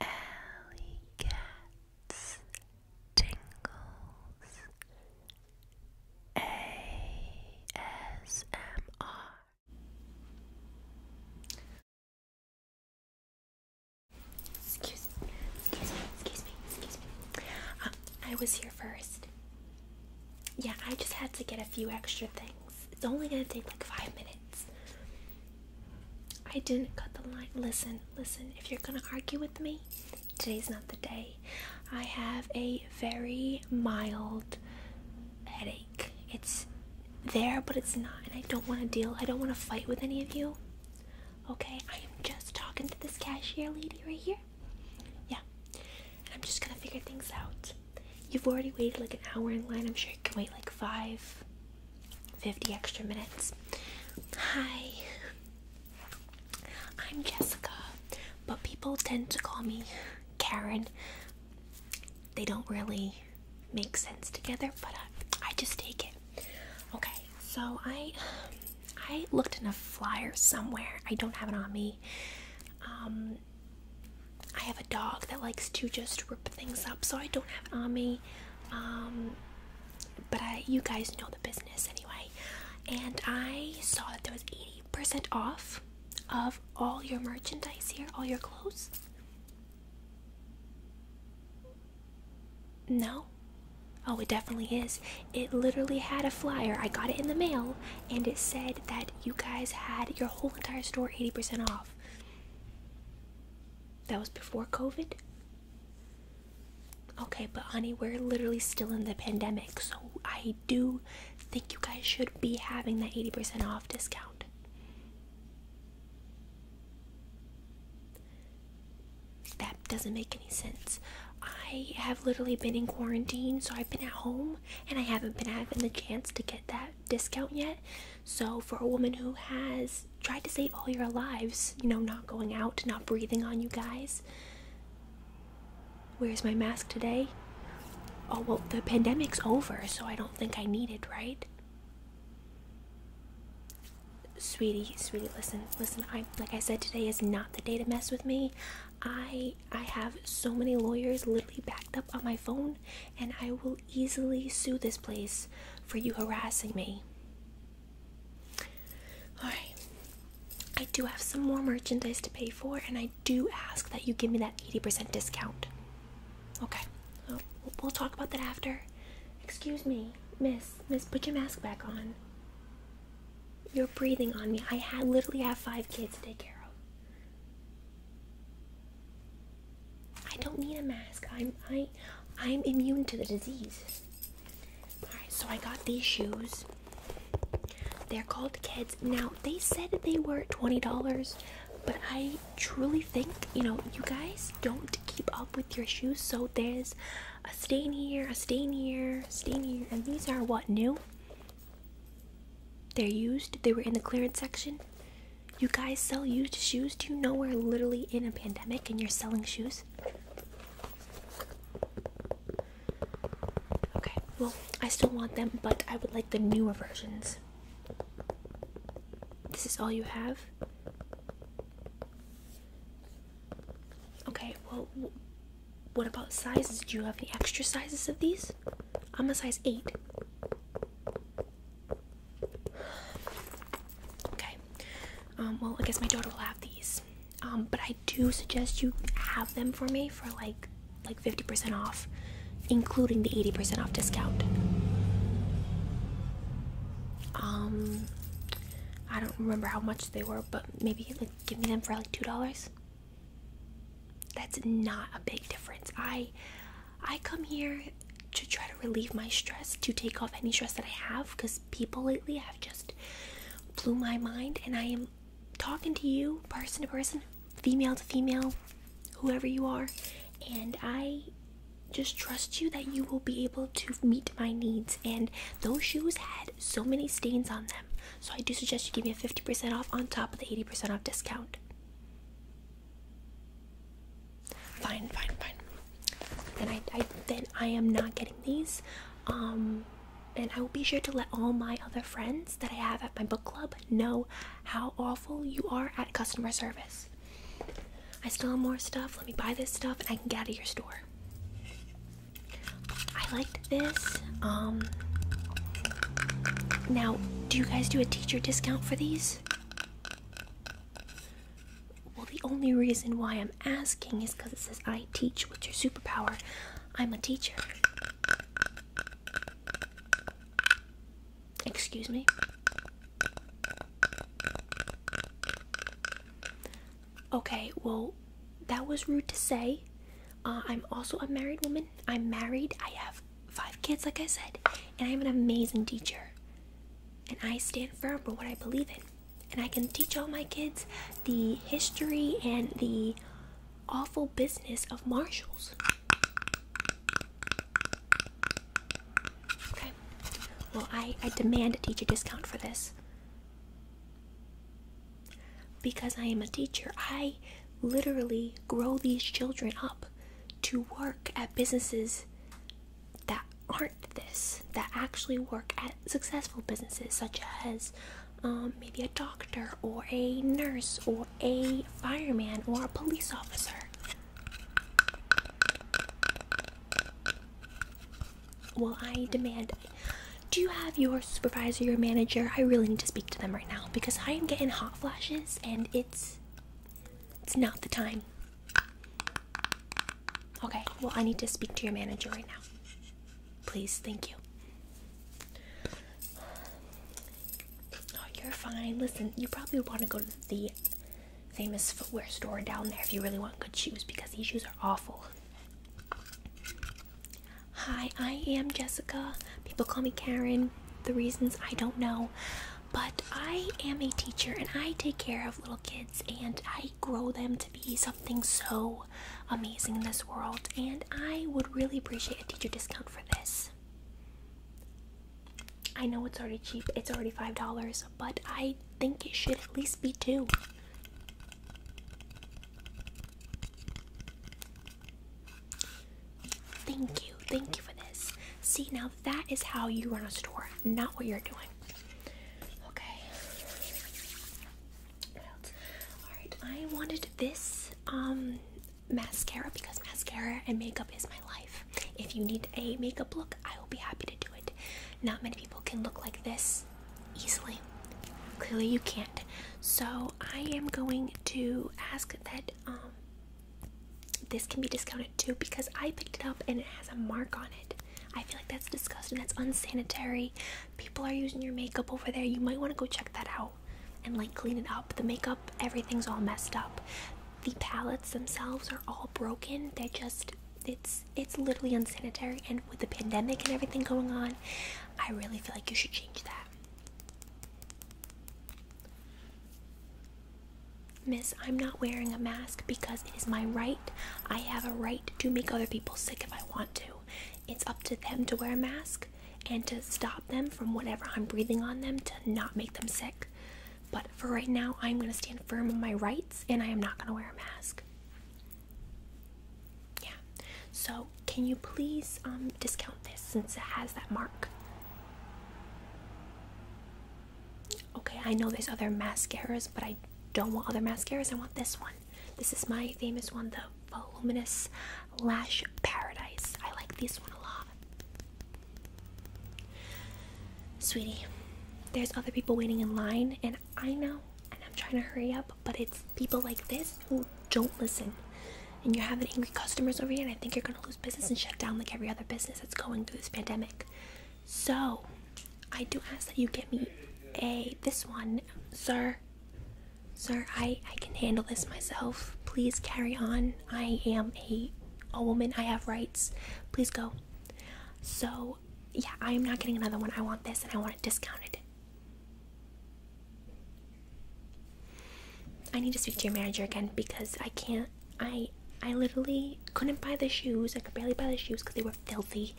Alley cats tingles ASMR. Excuse me, excuse me, excuse me, excuse um, me. I was here first. Yeah, I just had to get a few extra things. It's only gonna take like five minutes. I didn't cut the line. Listen, listen, if you're gonna argue with me, today's not the day. I have a very mild headache. It's there, but it's not, and I don't wanna deal, I don't wanna fight with any of you. Okay, I am just talking to this cashier lady right here. Yeah, and I'm just gonna figure things out. You've already waited like an hour in line. I'm sure you can wait like five, 50 extra minutes. Hi, I'm Jessica, but people tend to call me Karen. They don't really make sense together, but uh, I just take it. Okay, so I I looked in a flyer somewhere. I don't have it on me. Um, I have a dog that likes to just rip things up, so I don't have it on me. Um, but I, you guys know the business anyway. And I saw that there was 80% off of all your merchandise here, all your clothes. No? Oh, it definitely is. It literally had a flyer. I got it in the mail, and it said that you guys had your whole entire store 80% off. That was before COVID? Okay, but honey, we're literally still in the pandemic, so I do think you guys should be having that 80% off discount. That doesn't make any sense. I have literally been in quarantine, so I've been at home and I haven't been having the chance to get that discount yet. So, for a woman who has tried to save all your lives, you know, not going out, not breathing on you guys, where's my mask today? Oh, well, the pandemic's over, so I don't think I need it, right? Sweetie, sweetie, listen, listen. I like I said today is not the day to mess with me. I I have so many lawyers literally backed up on my phone and I will easily sue this place for you harassing me. Alright, I do have some more merchandise to pay for, and I do ask that you give me that 80% discount. Okay, we'll talk about that after. Excuse me, miss, miss, put your mask back on. You're breathing on me. I literally have five kids to take care of. I don't need a mask. I'm I I'm immune to the disease. Alright, so I got these shoes. They're called kids. Now they said they were $20, but I truly think, you know, you guys don't keep up with your shoes, so there's a stain here, a stain here, a stain here, and these are what new? They're used. They were in the clearance section. You guys sell used shoes? Do you know we're literally in a pandemic and you're selling shoes? Okay, well, I still want them, but I would like the newer versions. This is all you have? Okay, well, what about sizes? Do you have any extra sizes of these? I'm a size 8. Okay. Um, well, I guess my daughter will have these. Um, but I do suggest you have them for me for like like 50% off, including the 80% off discount. Um, I don't remember how much they were, but maybe like give me them for like two dollars. That's not a big difference. I I come here to try to relieve my stress, to take off any stress that I have, because people lately have just blew my mind, and I am talking to you, person to person, female to female, whoever you are, and I just trust you that you will be able to meet my needs. And those shoes had so many stains on them, so I do suggest you give me a 50% off on top of the 80% off discount. Fine, fine, fine. And I, then I am not getting these. Um, and I will be sure to let all my other friends that I have at my book club know how awful you are at customer service. I still have more stuff. Let me buy this stuff and I can get out of your store. I liked this. Um, now, do you guys do a teacher discount for these? Well, the only reason why I'm asking is because it says I teach. with your superpower? I'm a teacher. Excuse me. Okay, well, that was rude to say. Uh, I'm also a married woman. I'm married. I have five kids, like I said, and I'm an amazing teacher. And I stand firm for what I believe in. And I can teach all my kids the history and the awful business of marshals. Okay. Well, I, I demand a teacher discount for this. Because I am a teacher, I literally grow these children up to work at businesses that aren't this, that actually work at successful businesses, such as um, maybe a doctor or a nurse or a fireman or a police officer. Well, I demand. Do you have your supervisor, your manager? I really need to speak to them right now because I am getting hot flashes and it's not the time. Okay, well I need to speak to your manager right now. Please, thank you. Oh, you're fine. Listen, you probably want to go to the famous footwear store down there if you really want good shoes because these shoes are awful. Hi, I am Jessica. People call me Karen the reasons I don't know, but I am a teacher and I take care of little kids and I grow them to be something so amazing in this world. And I would really appreciate a teacher discount for this. I know it's already cheap, it's already $5, but I think it should at least be two. Thank you. Thank you for this. See, now that is how you run a store, not what you're doing. Okay. Alright, I wanted this um mascara because mascara and makeup is my life. If you need a makeup look, I will be happy to do it. Not many people can look like this easily. Clearly you can't. So I am going to ask that um this can be discounted too because I picked it up and it has a mark on it. I feel like that's disgusting. That's unsanitary. People are using your makeup over there. You might want to go check that out and like clean it up. The makeup, everything's all messed up. The palettes themselves are all broken. They're just it's it's literally unsanitary and with the pandemic and everything going on, I really feel like you should change that. Miss, I'm not wearing a mask because it is my right. I have a right to make other people sick if I want to. It's up to them to wear a mask and to stop them from whatever I'm breathing on them to not make them sick. But for right now, I'm going to stand firm on my rights and I am not going to wear a mask. Yeah. So can you please um, discount this since it has that mark? Okay, I know there's other mascaras, but I don't want other mascaras. I want this one. This is my famous one, the Voluminous Lash Paradise. I like this one a lot. Sweetie, there's other people waiting in line, and I know, and I'm trying to hurry up, but it's people like this who don't listen and you have angry customers over here, and I think you're gonna lose business and shut down like every other business that's going through this pandemic. So, I do ask that you get me a this one, sir. Sir, I I can handle this myself. Please carry on. I am a a woman. I have rights. Please go. So, yeah, I am not getting another one. I want this, and I want it discounted. I need to speak to your manager again because I can't. I I literally couldn't buy the shoes. I could barely buy the shoes because they were filthy.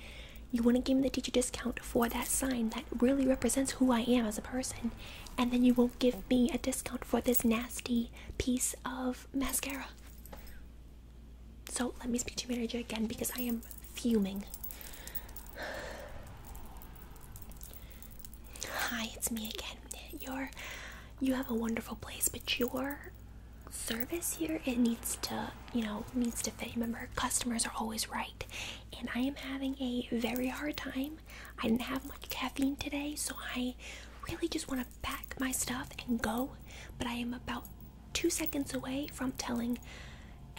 You wouldn't give me the teacher discount for that sign that really represents who I am as a person, and then you won't give me a discount for this nasty piece of mascara. So let me speak to your manager again because I am fuming. Hi, it's me again. Your you have a wonderful place, but your service here it needs to, you know, needs to fit. Remember, customers are always right. And I am having a very hard time. I didn't have much caffeine today, so I really just want to pack my stuff and go, but I am about 2 seconds away from telling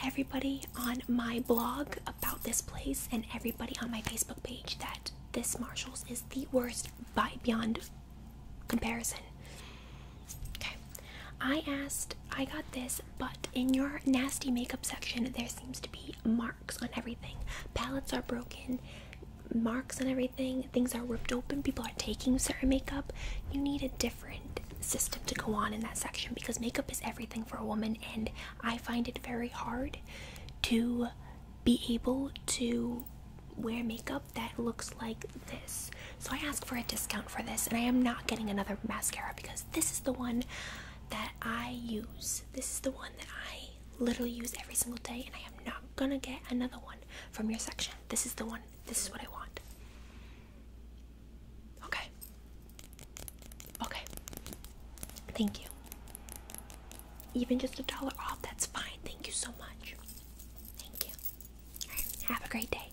everybody on my blog about this place and everybody on my Facebook page that this Marshalls is the worst by beyond comparison. Okay, I asked, I got this, but in your nasty makeup section, there seems to be marks on everything. Palettes are broken, marks on everything, things are ripped open, people are taking certain makeup. You need a different system to go on in that section because makeup is everything for a woman, and I find it very hard to be able to wear makeup that looks like this. So I asked for a discount for this, and I am not getting another mascara because this is the one that I use. This is the one that I literally use every single day, and I am not gonna get another one from your section. This is the one, this is what I want. Okay. Okay. Thank you. Even just a dollar off, that's fine. Thank you so much. Thank you. Have a great day.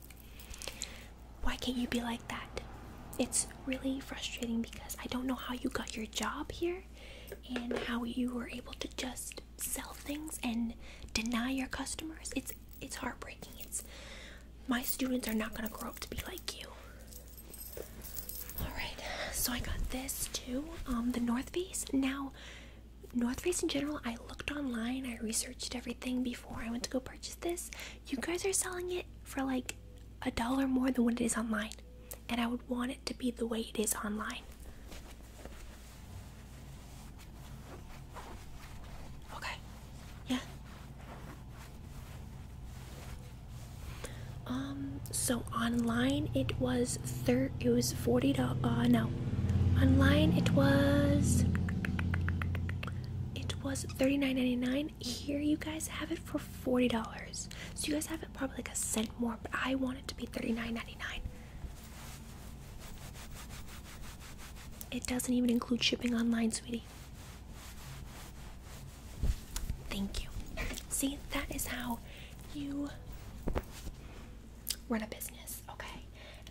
Why can't you be like that? It's really frustrating because I don't know how you got your job here and how you were able to just sell things and deny your customers. It's it's heartbreaking. It's my students are not going to grow up to be like you. All right, so I got this too, um, the North Face. Now, North Face in general, I looked online, I researched everything before I went to go purchase this. You guys are selling it for like a dollar more than what it is online, and I would want it to be the way it is online. Okay, yeah, um, so online it was thir it was forty dollars. Uh, no, online it was it was thirty nine ninety nine. Here you guys have it for forty dollars. So you guys have it probably like a cent more, but I want it to be thirty nine ninety nine. It doesn't even include shipping online, sweetie. Thank you. See, that is how you run a business, okay?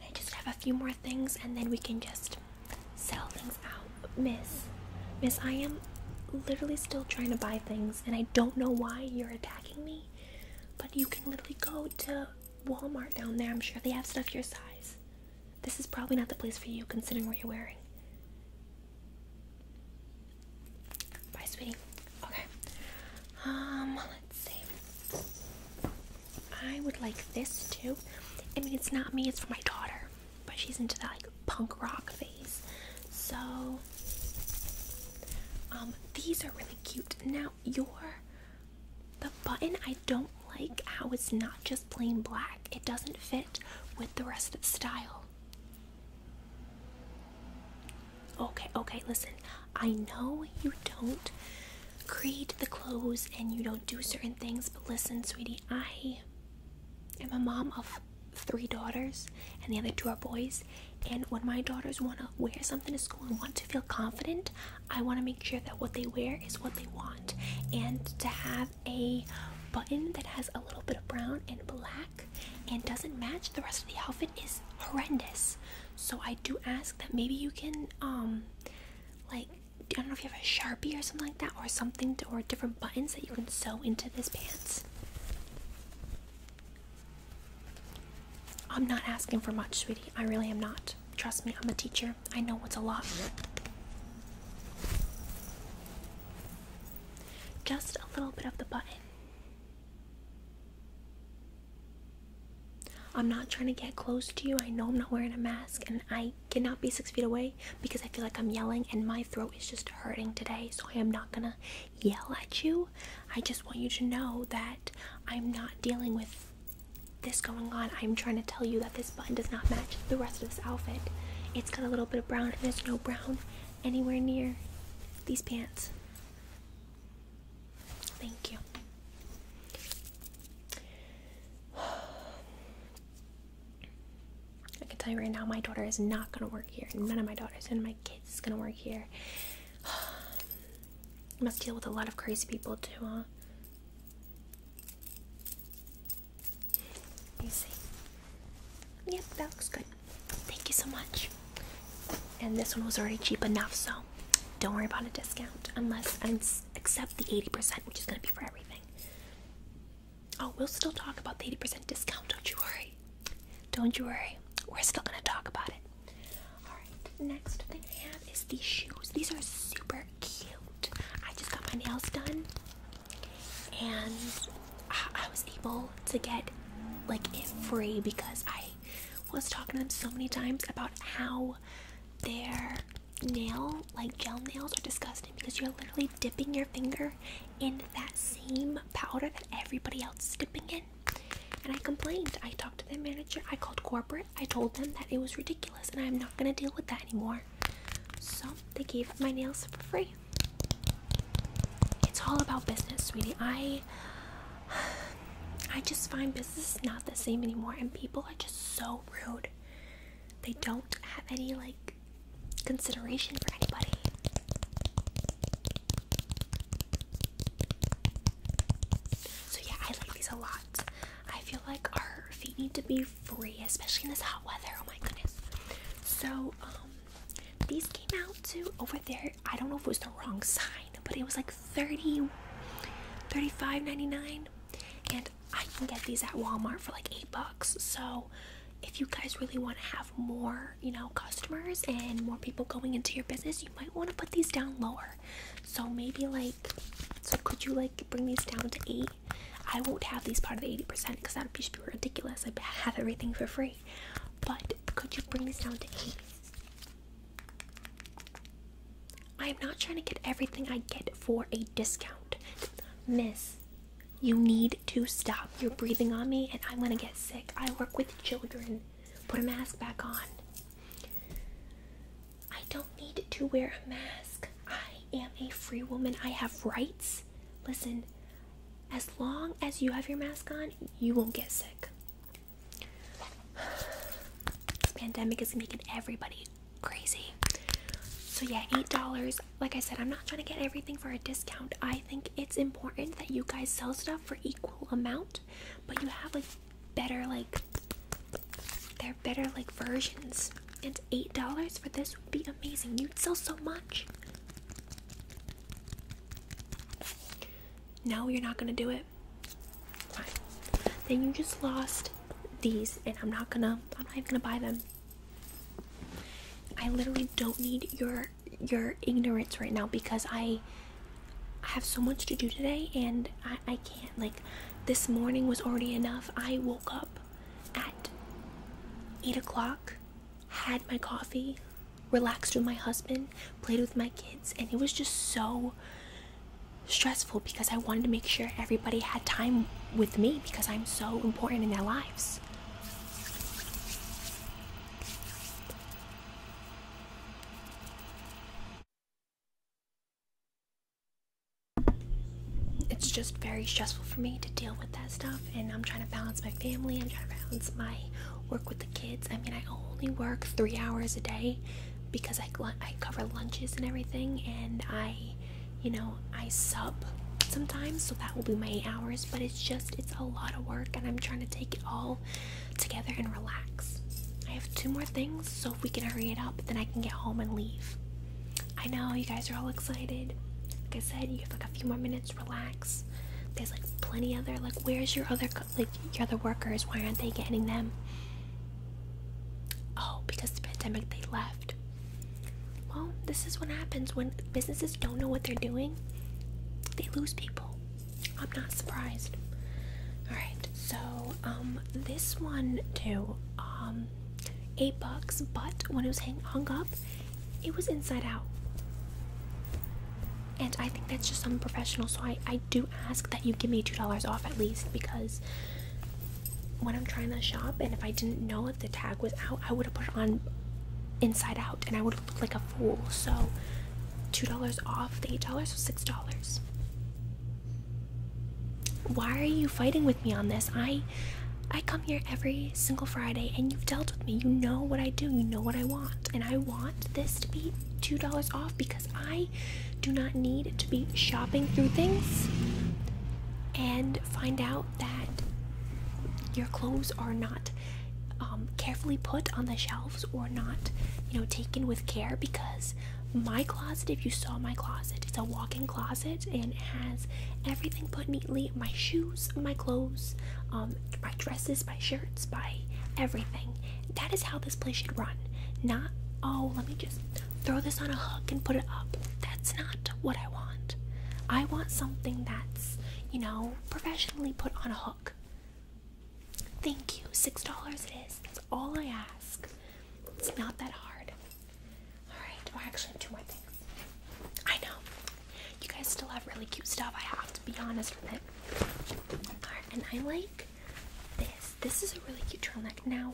I just have a few more things and then we can just sell things out. Miss, Miss, I am literally still trying to buy things and I don't know why you're attacking me, but you can literally go to Walmart down there. I'm sure they have stuff your size. This is probably not the place for you considering what you're wearing. Bye, sweetie. Okay. Um, let's see. I would like this too. I mean, it's not me, it's for my daughter. But she's into that like punk rock phase. So, um, these are really cute. Now, your the button I don't like how it's not just plain black. It doesn't fit with the rest of the style. Okay, okay, listen. I know you don't create the clothes and you don't do certain things, but listen, sweetie, I am a mom of three daughters, and the other two are boys. And when my daughters want to wear something to school and want to feel confident, I want to make sure that what they wear is what they want. And to have a button that has a little bit of brown and black and doesn't match the rest of the outfit is horrendous. So I do ask that maybe you can um like I don't know if you have a sharpie or something like that or something or different buttons that you can sew into this pants. I'm not asking for much, sweetie. I really am not. Trust me, I'm a teacher. I know what's a lot. Just a little bit of the button. I'm not trying to get close to you. I know I'm not wearing a mask and I cannot be six feet away because I feel like I'm yelling and my throat is just hurting today. So I am not gonna yell at you. I just want you to know that I'm not dealing with this going on. I'm trying to tell you that this this button does not match the rest of this outfit. It's got a little bit of brown, and there's no brown anywhere near these pants. Thank you. I can tell you right now, my daughter is not gonna work here. None of my daughters and my kids is gonna work here. I must deal with a lot of crazy people too, huh? You see? Yep, that looks good. Thank you so much. And this one was already cheap enough, so don't worry about a discount unless I accept the 80%, which is going to be for everything. Oh, we'll still talk about the 80% discount, don't you worry. Don't you worry. We're still going to talk about it. Alright, next thing I have is these shoes. These are super cute. I just got my nails done and I, was able to get like it free because I was talking to them so many times about how their nail like gel nails are disgusting because you're literally dipping your finger in that same powder that everybody else is dipping in and i complained i talked to their manager i called corporate i told them that it was ridiculous and i'm not going to deal with that anymore so they gave my nails for free. It's all about business, sweetie. I I just find business is not the same anymore and people are just so rude. They don't have any like consideration for anybody. So yeah, I like these a lot. I feel like our feet need to be free, especially in this hot weather. Oh my goodness. So, um, these came out to over there. I don't know if it was the wrong sign, but it was like 30 35 99 And I can get these at Walmart for like eight bucks. So if you guys really want to have more, you know, customers and more people going into your business, you might want to put these down lower. So maybe like so could you like bring these down to eight I won't have these part of the 80% because that would be ridiculous. I have everything for free. But could you bring this down to 80? I am not trying to get everything I get for a discount. Miss, you need to stop. You're breathing on me and I'm going to get sick. I work with children. Put a mask back on. I don't need to wear a mask. I I am a free woman. I have rights. Listen, as long as you have your mask on, you won't get sick. This pandemic is making everybody crazy. So, yeah, $8. Like I said, I'm not trying to get everything for a discount. I think it's important that you guys sell stuff for equal amount, but you have like better, like, they're better, like, versions. It's $8 for this be amazing. You'd sell so much. No, you're not gonna do it. Fine. Then you just lost these, and I'm not gonna. I'm not even gonna buy them. I literally don't need your your ignorance right now because I I have so much to do today and I, I can't like this morning was already enough. I woke up at 8 o'clock, had my coffee, relaxed with my husband, played with my kids, and it was just so stressful because I wanted to make sure everybody had time with me because I'm so important in their lives it's just very stressful for me to deal with that stuff and i'm trying to balance my family i'm trying to balance my work with the kids i mean i only work three hours a day because i, I cover lunches and everything and i you know i sub sometimes so that will be my eight hours but it's just it's a lot of work and i'm trying to take it all together and relax i have two more things so if we can hurry it up then i can get home and leave I know you guys are all excited. Like I said, you have like a few more minutes. Relax. There's like plenty other like. Where's your other like your other workers? Why aren't they getting them? Oh, because the pandemic they left. Well, this is what happens when businesses don't know what they're doing. They lose people. I'm not surprised. All right, so um, this one too. Um, eight bucks, but when it was hang hung up, it was inside out. And I think that's just unprofessional. So I, do ask that you give me two dollars off at least because when I'm trying to shop and if I didn't know if the tag was out, I would have put on inside out and I would have looked like a fool. So two dollars off the eight dollars was six dollars. Why are you fighting with me on this? I I come here every single Friday and you've dealt with me. You know what I do. You know what I want. And I want this to be $2 off because I do not need to be shopping through things and find out that your clothes are not um, carefully put on the shelves or not, you know, taken with care because my closet if you saw my closet it's a walk-in closet and has everything put neatly my shoes my clothes um my dresses my shirts my everything that is how this place should run not oh let me just throw this on a hook and put it up that's not what i want i want something that's you know professionally put on a hook thank you six dollars it is that's all i ask it's not that hard Alright, or actually, have two more things. I know. You guys still have really cute stuff. I have to be honest with it. and I like this. This is a really cute turtleneck. Now,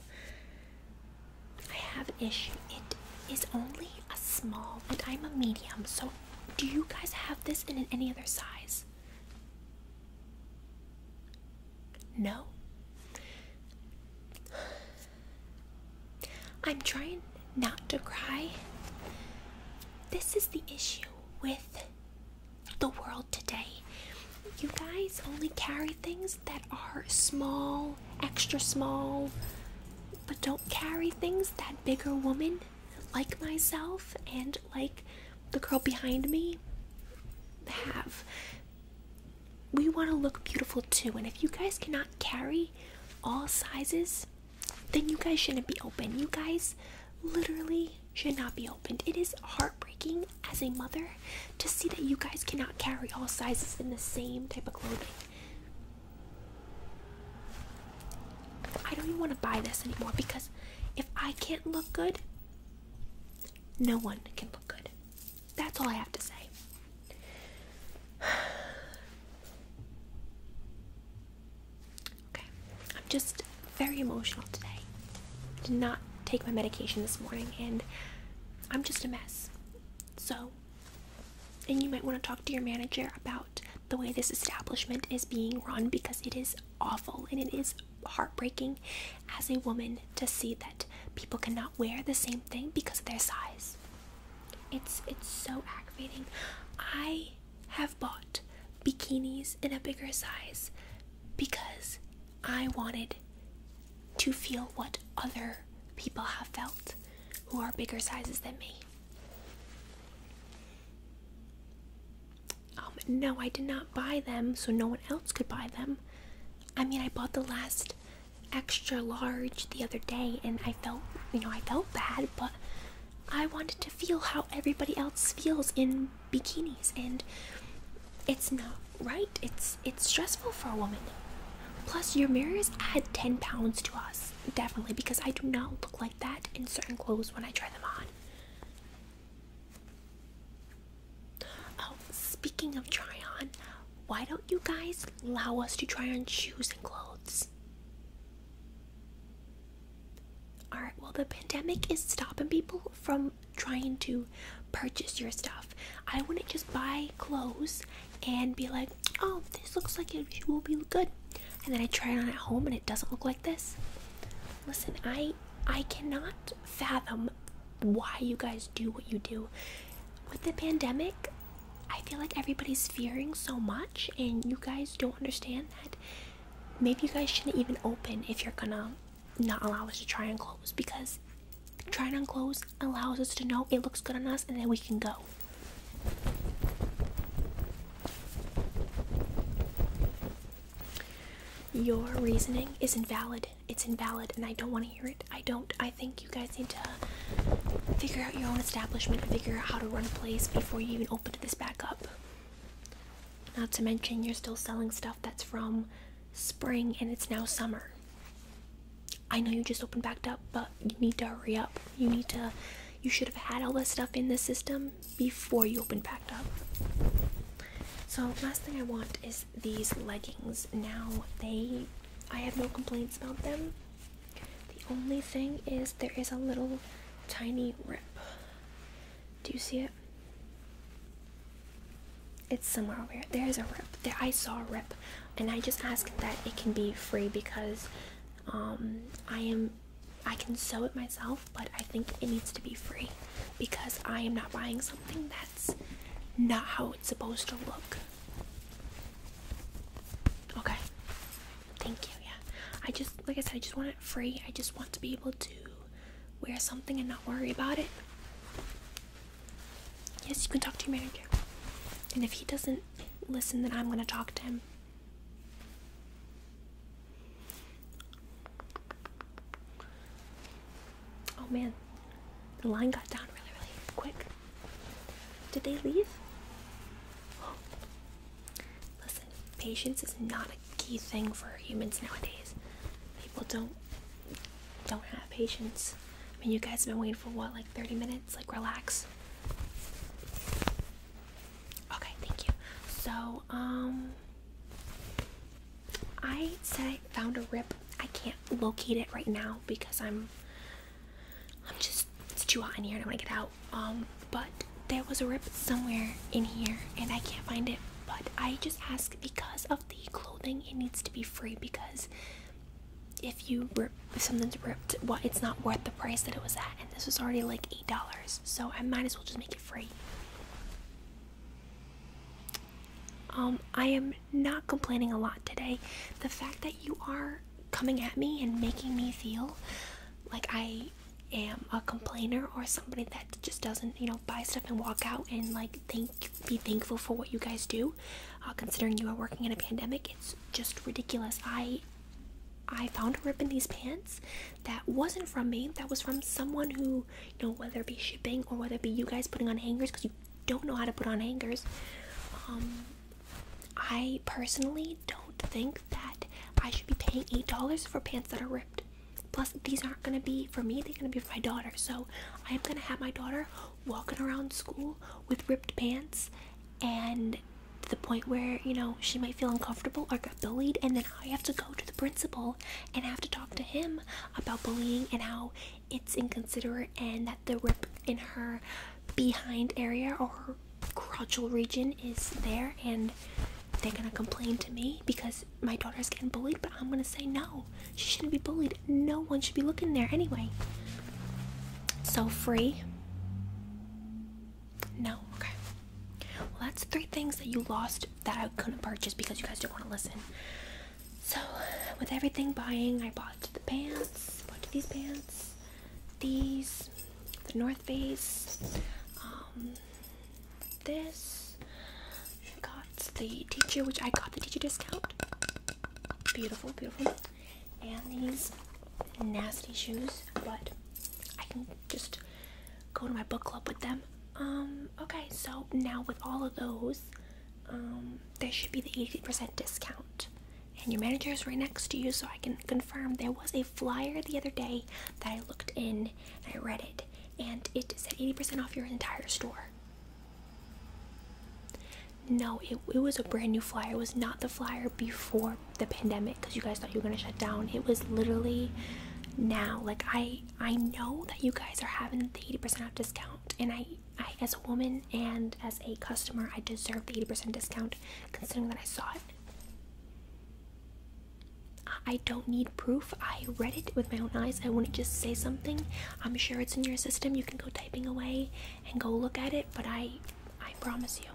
I have an issue. It is only a small, and I'm a medium. So, do you guys have this in any other size? No. I'm trying not to cry. This is the issue with the world today. You guys only carry things that are small, extra small, but don't carry things that bigger woman like myself and like the girl behind me have we want to look beautiful too. And if you guys cannot carry all sizes, then you guys shouldn't be open. You guys literally should not be open. It is heartbreaking as a mother to see that you guys cannot carry all sizes in the same type of clothing. I don't even want to buy this anymore because if I can't look good, no one can look good. That's all I have to say. Okay, I'm just very emotional today. Did not take my medication this morning, and I'm just a mess. So, and you might want to talk to your manager about the way this establishment is being run because it is awful and it is heartbreaking as a woman to see that people cannot wear the same thing because of their size. It's it's so aggravating. I have bought bikinis in a bigger size because I wanted to feel what other people have felt who are bigger sizes than me. Um, no, I did not buy them so no one else could buy them. I mean, I bought the last extra large the other day and I felt, you know, I felt bad, but I wanted to feel how everybody else feels in bikinis and it's not right. It's it's stressful for a woman. Plus your mirrors add 10 pounds to us, definitely, because I do not look like that in certain clothes when I try them on. Oh, speaking of try on, why don't you guys allow us to try on shoes and clothes? Alright, well, the pandemic is stopping people from trying to purchase your stuff. I wouldn't just buy clothes and be like, oh, this looks like it will be good. And then I try it on at home and it doesn't look like this. Listen, I I cannot fathom why you guys do what you do. With the pandemic, I feel like everybody's fearing so much, and you guys don't understand that maybe you guys shouldn't even open if you're gonna not allow us to try and close because trying on clothes allows us to know it looks good on us and then we can go. Your reasoning is invalid. It's invalid and I don't want to hear it. I don't. I think you guys need to figure out your own establishment figure out how to run a place before you even open this back up. Not to mention, you're still selling stuff that's from spring and it's now summer. I know you just opened back up, but you need to hurry up. You need to. You should have had all this stuff in the system before you opened back up. So, last thing I want is these leggings. Now they I have no complaints about them. The only thing is there is a little tiny rip. Do you see it? It's somewhere over here. There's a rip. There I saw a rip and I just asked that it can be free because um, I am I can sew it myself, but I think it needs to be free because I am not buying something that's not how it's supposed to look. Okay. Thank you. Yeah. I just, like I said, I just want it free. I just want to be able to wear something and not worry about it. Yes, you can talk to your manager. And if he doesn't listen, then I'm going to talk to him. Oh man, the line got down really, really quick. Did they leave? Listen, patience is not a key thing for humans nowadays. People don't don't have patience. I mean, you guys have been waiting for what, like 30 minutes? Like, relax. Okay, thank you. So, um, I said found a rip. I can't locate it right now because I'm I'm just it's too hot in here and I want to get out. Um, but there was a rip somewhere in here and I can't find it. But I just ask because of the clothing, it needs to be free because if you rip if something's ripped, well, it's not worth the price that it was at, and this was already like eight dollars, so I might as well just make it free. Um, I am not complaining a lot today. The fact that you are coming at me and making me feel like I am a complainer or somebody that just doesn't, you know, buy stuff and walk out and like thank be thankful for what you guys do. Uh, considering you are working in a pandemic, it's just ridiculous. I I found a rip in these pants that wasn't from me. That was from someone who you know whether it be shipping or whether it be you guys putting on hangers because you don't know how to put on hangers um, i personally don't think that i should be paying eight dollars for pants that are ripped plus these aren't going to be for me they're going to be for my daughter so i'm going to have my daughter walking around school with ripped pants and to the point where you know she might feel uncomfortable or get bullied and then i have to go to the principal and have to talk to him about bullying and how it's inconsiderate and that the rip in her behind area or her crotchal region is there and they're gonna complain to me because my daughter's getting bullied, but I'm gonna say no, she shouldn't be bullied. No one should be looking there anyway. So free. No, okay. Well, that's three things that you lost that I couldn't purchase because you guys didn't want to listen. So, with everything buying, I bought the pants, bought these pants, these, the North Face, um, this. got the teacher, which I got the teacher discount. Beautiful, beautiful. And these nasty shoes, but I can just go to my book club with them. Um, okay, so now with all of those, um, there should be the 80% discount. And your manager is right next to you, so I can confirm there was a flyer the other day that I looked in and I read it, and it said 80% off your entire store. No, it, it was a brand new flyer. It was not the flyer before the pandemic because you guys thought you were going to shut down. It was literally now. Like, I I know that you guys are having the 80% off discount and I I as a woman and as a customer I deserve the 80% discount considering that I saw it. I don't need proof. I read it with my own eyes. I wouldn't just say something. I'm sure it's in your system. You can go typing away and go look at it, but I I promise you.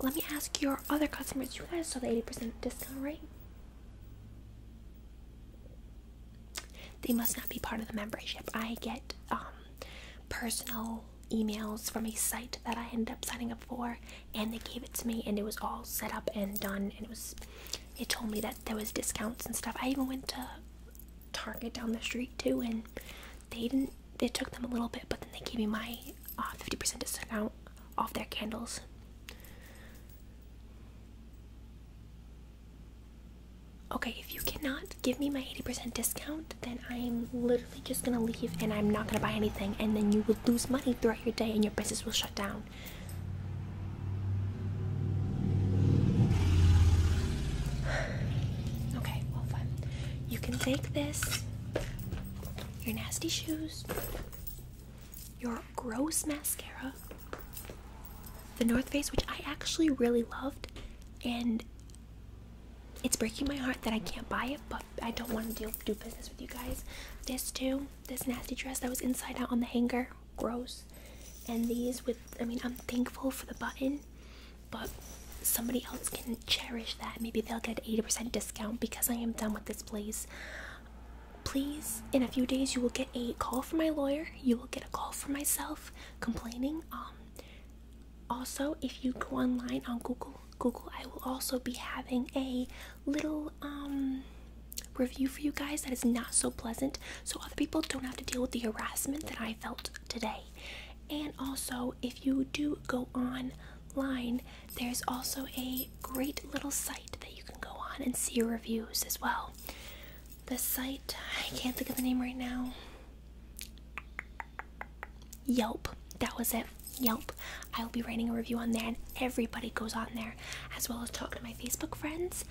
Let me ask your other customers. You guys saw the 80% discount, right? They must not be part of the membership. I get um, personal emails from a site that I ended up signing up for, and they gave it to me, and it was all set up and done, and it was. It told me that there was discounts and stuff. I even went to Target down the street too, and they didn't. It took them a little bit, but then they gave me my uh, fifty percent discount off their candles. Okay, if you cannot give me my 80% discount, then I'm literally just gonna leave and I'm not gonna buy anything, and then you will lose money throughout your day and your business will shut down. okay, well, fun. You can take this, your nasty shoes, your gross mascara, the North Face, which I actually really loved, and it's breaking my heart that I can't buy it, but I don't want to do business with you guys. This too, this nasty dress that was inside out on the hanger, gross. And these with, I mean, I'm thankful for the button, but somebody else can cherish that. Maybe they'll get 80% discount because I am done with this place please in a few days you will get a call from my lawyer you will get a call from myself complaining um also if you go online on google google i will also be having a little um review for you guys that is not so pleasant so other people don't have to deal with the harassment that i felt today and also if you do go online there's also a great little site that you can go on and see reviews as well. The site, I can't think of the name right now. Yelp, that was it. Yelp. I will be writing a review on there, and everybody goes on there, as well as talk to my Facebook friends,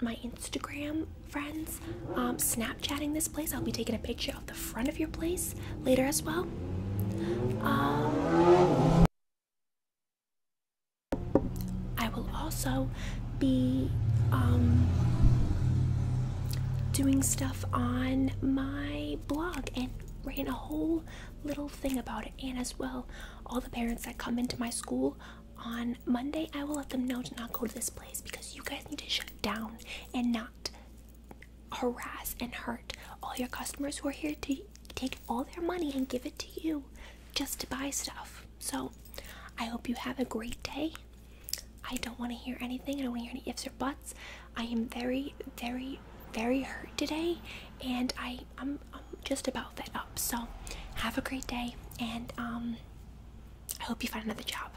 my Instagram friends, um, Snapchatting this place. I'll be taking a picture of the front of your place later as well. Um, I will also be um, doing stuff on my blog and ran a whole little thing about it. And as well, all the parents that come into my school on Monday, I will let them know to not go to this place because you guys need to shut down and not harass and hurt all your customers who are here to take all their money and give it to you just to buy stuff. So I hope you have a great day. I don't want to hear anything. I don't want to hear any ifs or buts. I am very, very, very hurt today, and I, I'm, just about fed up. So, have a great day, and um, I hope you find another job.